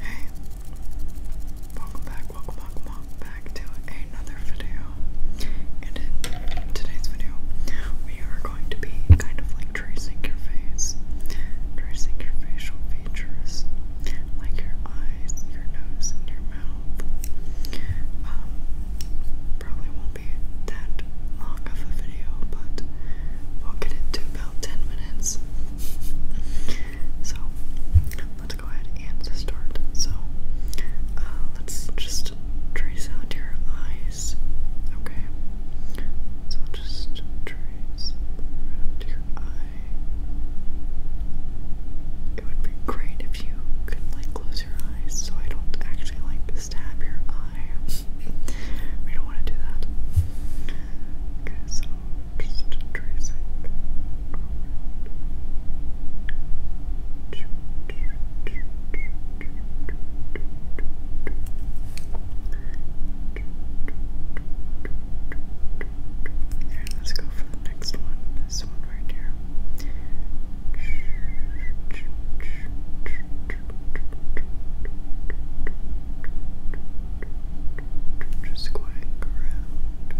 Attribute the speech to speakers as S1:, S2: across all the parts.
S1: Hey, welcome back, welcome, welcome, welcome back to another video. And in today's video, we are going to be kind of tracing your face, tracing your facial features, like your eyes, your nose, and your mouth. Um, probably won't be that long of a video, but we'll get it to about 10 minutes. so, let's go ahead and start. So, uh, let's just trace out your eyes, okay? So, just trace around your eye. It would be great if you could, like, close your eyes so I don't actually actually like stab your eye. we don't want to do that. Okay, so just tracing. Here, let's go for the next one. This one right here. Just going around,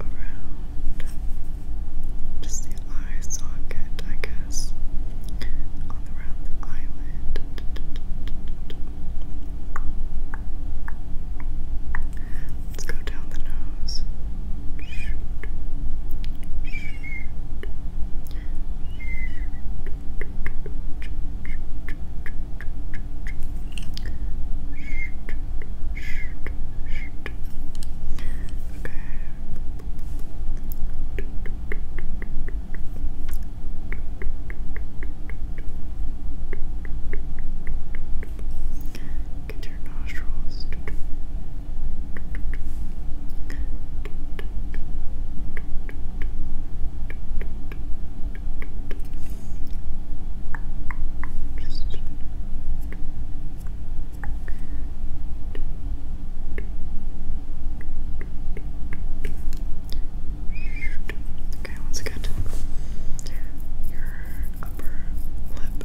S1: around, just the eye socket, I guess, on around the eyelid. Let's go down the nose. Okay. Get your nostrils. Just Okay, once again, your upper lip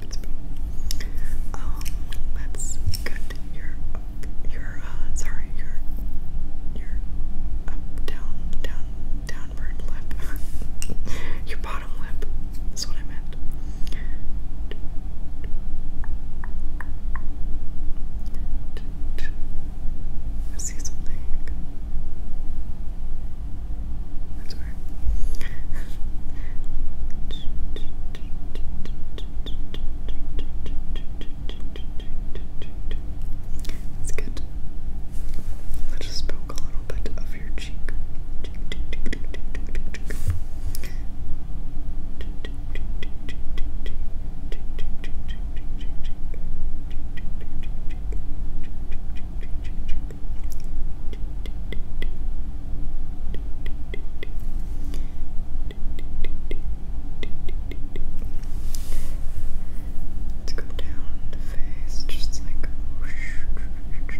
S1: stupid spoon. your your uh sorry your your down down downward lip your bottom lip is what I meant. see something. That's where. That's good. just poke a little bit of your cheek. Let's go down the face, just like rolling down your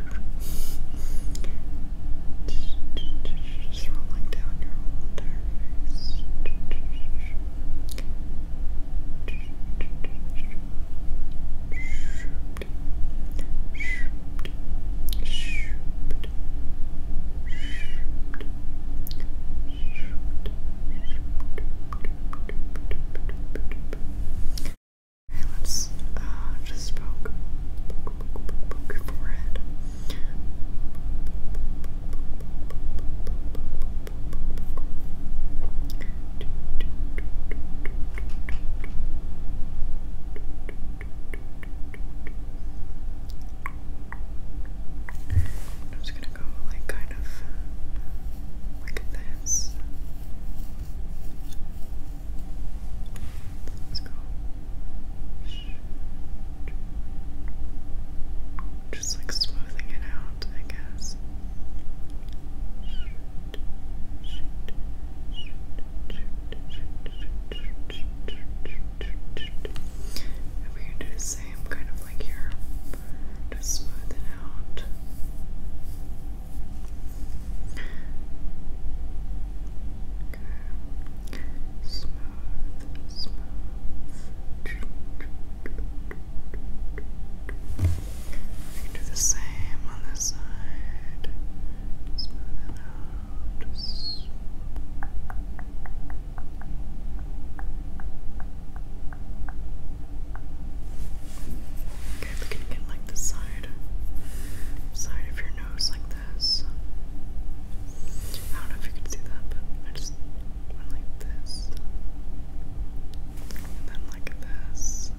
S1: entire face. Your lips uh, just poke, poke, poke, poke, your forehead. I'm just gonna go like kind of like this. Let's go. Just like smoothing it out, I guess. And we're do the same kind of like here, just smooth it out. Okay. Smooth, smooth do the same on this side. Smooth it out. Just... Okay, looking again like the side, side of your nose, like this. I don't know if you can see that, but I just went like this. And then like this.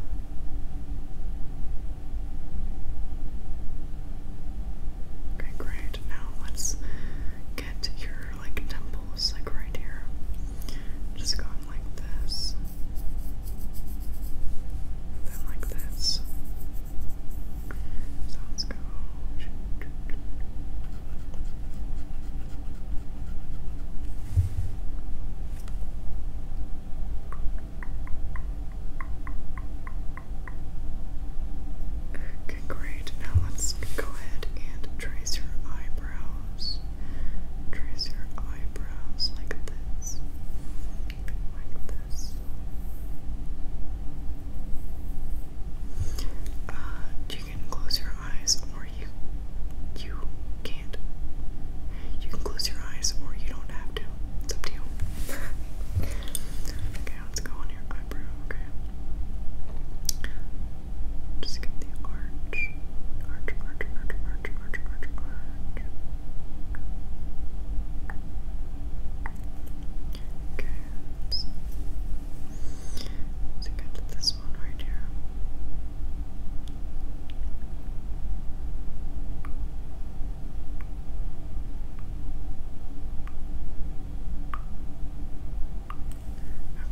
S1: Okay, great. Now let's get your like temples like right here. Just going like this. then like this. So let's go. Okay, great. Now let's go ahead and trace your eyebrows. Trace your eyebrows like this. Like this. Uh, you can close your eyes or you you can't. You can close your eyes or you don't have to. It's up to you. okay, let's go on your eyebrow, okay? Just get the arch. Arch, arch, arch, arch, arch, arch, Okay. So you this this one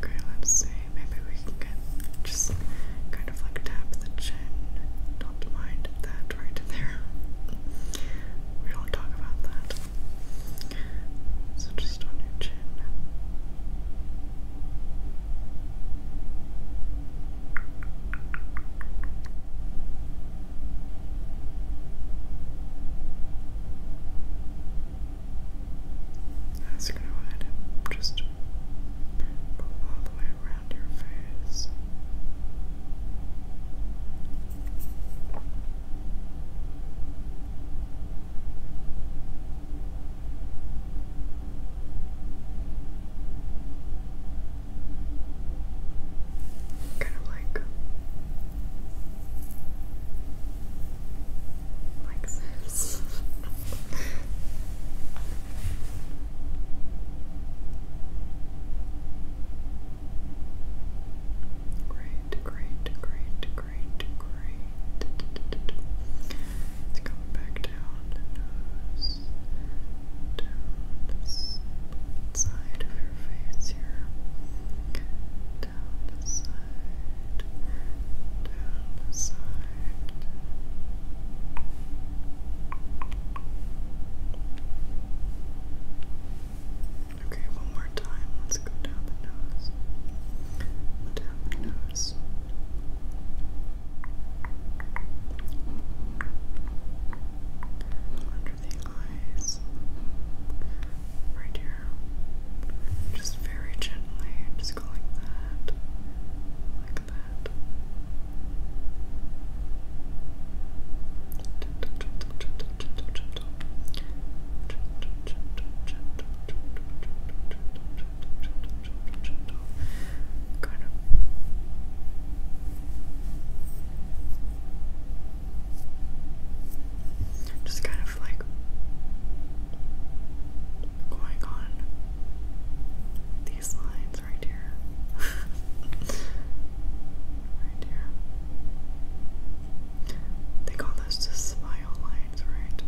S1: Okay, let's see. Maybe we can get just kind of like tap the chin. Don't mind that right there. We don't talk about that. So just on your chin. I'm go ahead and just go all the way around your face. Kind of like like this. Great, great, great, great, great. It's coming back down down this side of your face here, down the side, down the side. Okay, one more time. Let's go down the nose. Down the nose. Under the eyes. Right here. Just very gently. Just go like that. Like that. Kind of. Just kind of like going on these lines right here. right here. They call those smile lines, right?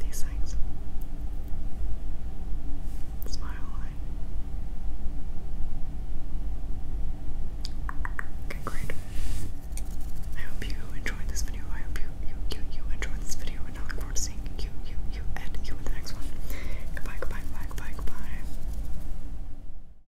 S1: These things. Smile line. Okay, great. I hope you enjoyed this video. I hope you, you, you, you enjoyed this video, and I look forward to seeing you, you, you, and you in the next one. Goodbye, goodbye, goodbye, goodbye, goodbye.